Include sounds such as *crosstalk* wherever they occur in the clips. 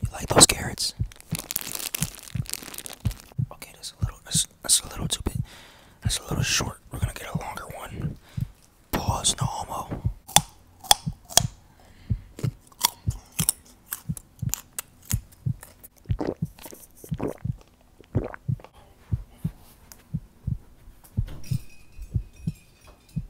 You like those carrots? Okay, that's a little that's, a little too big. That's a little short. We're gonna get a longer one. Pause, no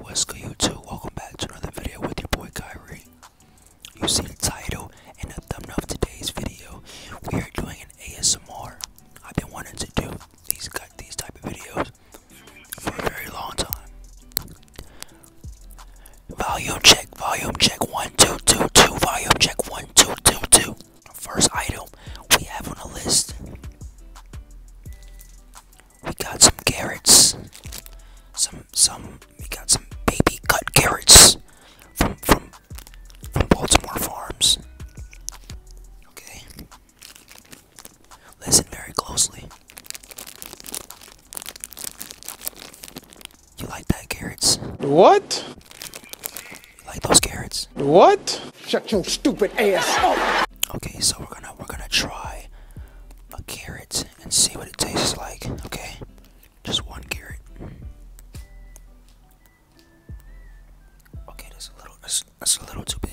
What's good YouTube? Welcome back to another video with your boy Kyrie. You see the title and the thumbnail of today's video. We are doing an ASMR. I've been wanting to do these these type of videos for a very long time. Volume check, volume check, one, two, two, two, volume check, one, two, two, two. First item we have on the list. We got some carrots. Some some we got some baby cut carrots from from from Baltimore Farms. Okay. Listen very closely. You like that carrots? What? You like those carrots? What? Shut your stupid ass Okay, so we're gonna we're gonna try a carrot and see what it tastes like. Okay, just one carrot. Okay, that's a little that's a little too big.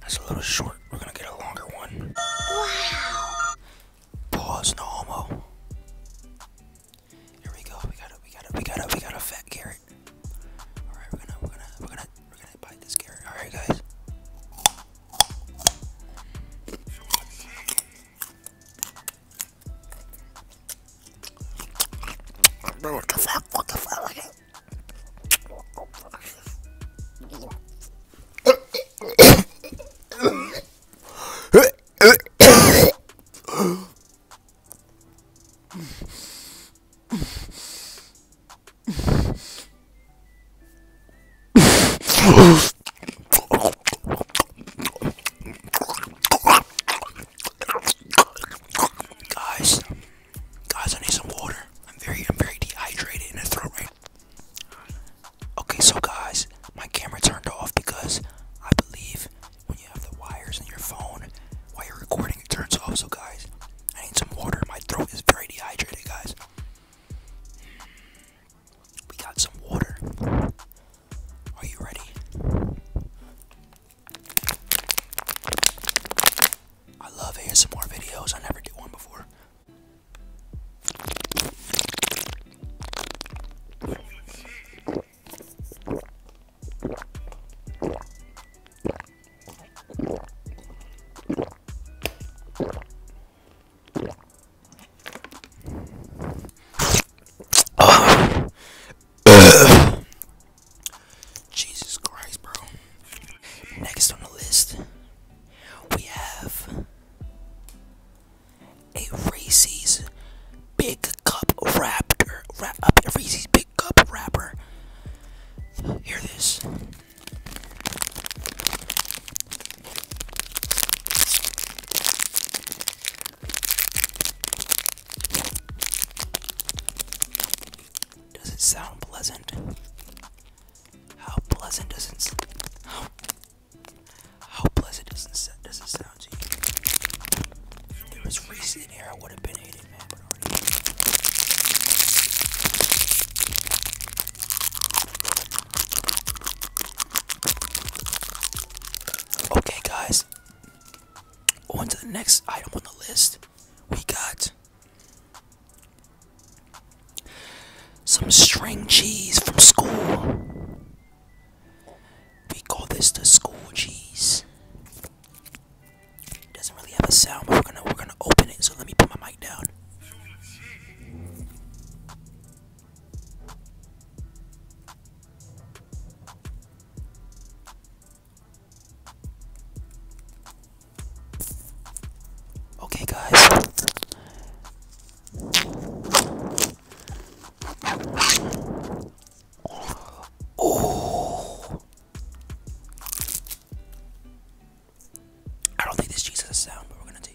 That's a little short. We're gonna get a longer one. Wow. Pause, no homo. Here we go. We got it. We got it. We got it. We got a fat carrot. All right, we're gonna we're gonna we're gonna we're gonna bite this carrot. All right, guys. What the fuck? What the fuck? *coughs* *coughs* *coughs* guys, guys, I need some water. I'm very, I'm very dehydrated in the throat right. Okay, so guys, my camera turned off because I believe when you have the wires in your phone while you're recording, it turns off. So, guys, I need some water. My throat is very dehydrated, guys. We got some water. Are you ready? I love ASMR videos. I never did one before. Jesus Christ, bro. Next on the list, we have a Reese's Big Cup Raptor. Wrap up a Reese's Big Cup Wrapper. Hear this. Does it sound pleasant? How pleasant does not how, how pleasant does it, sound to you? there was reason here I would have been hated, man, Okay guys. On to the next item on the list. We got some string cheese from school. We call this the school cheese. doesn't really have a sound, but we're gonna we're gonna open it. So let me put my mic down. Okay, guys. Oh. I don't think this cheese has a sound, but we're gonna take.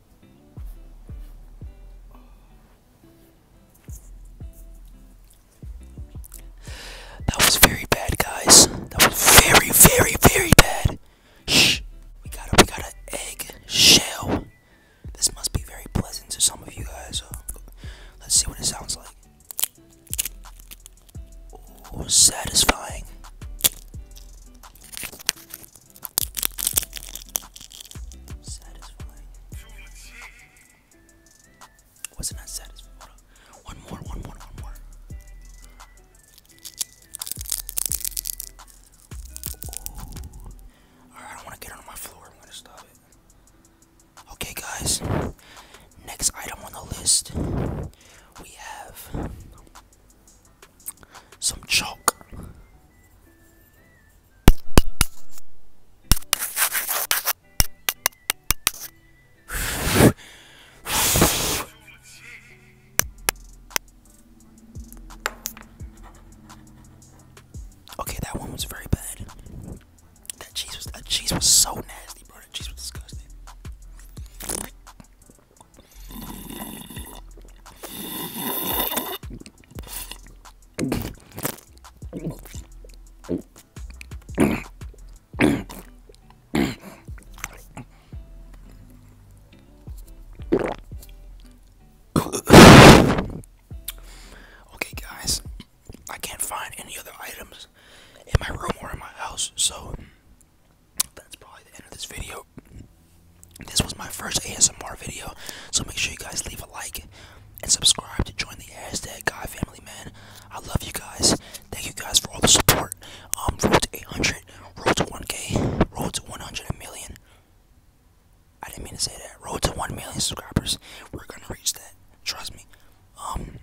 That was very bad, guys. That was very, very, very bad. Shh. We got a, we got an egg shell. This must be very pleasant to some of you guys. Uh, let's see what it sounds like. Oh, satisfying. Wasn't that satisfying? One more, one more, one more. I don't want to get on my floor. Okay, guys. Next item on the list we have some chalk. okay, that one was very bad. That cheese was that cheese was so nasty, bro. That cheese was disgusting. Okay, guys, I can't find any other items in my room or in my house, so that's probably the end of this video. This was my first ASMR video, so make sure you guys leave a like and subscribe to join the hashtag Guy Family Man. I love you guys. Thank you guys for all the support. Um, road to 800, road to 1K, road to 100 million. I didn't mean to say that. Road to 1 million subscribers. We're gonna reach that. Trust me. Um,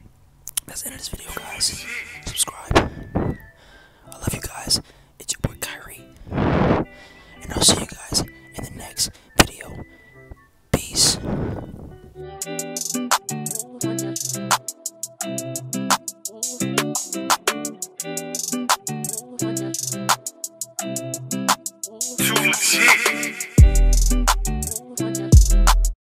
that's the end of this video, guys. Subscribe. I love you guys. It's your boy Kyrie. And I'll see you guys in the next video. Peace.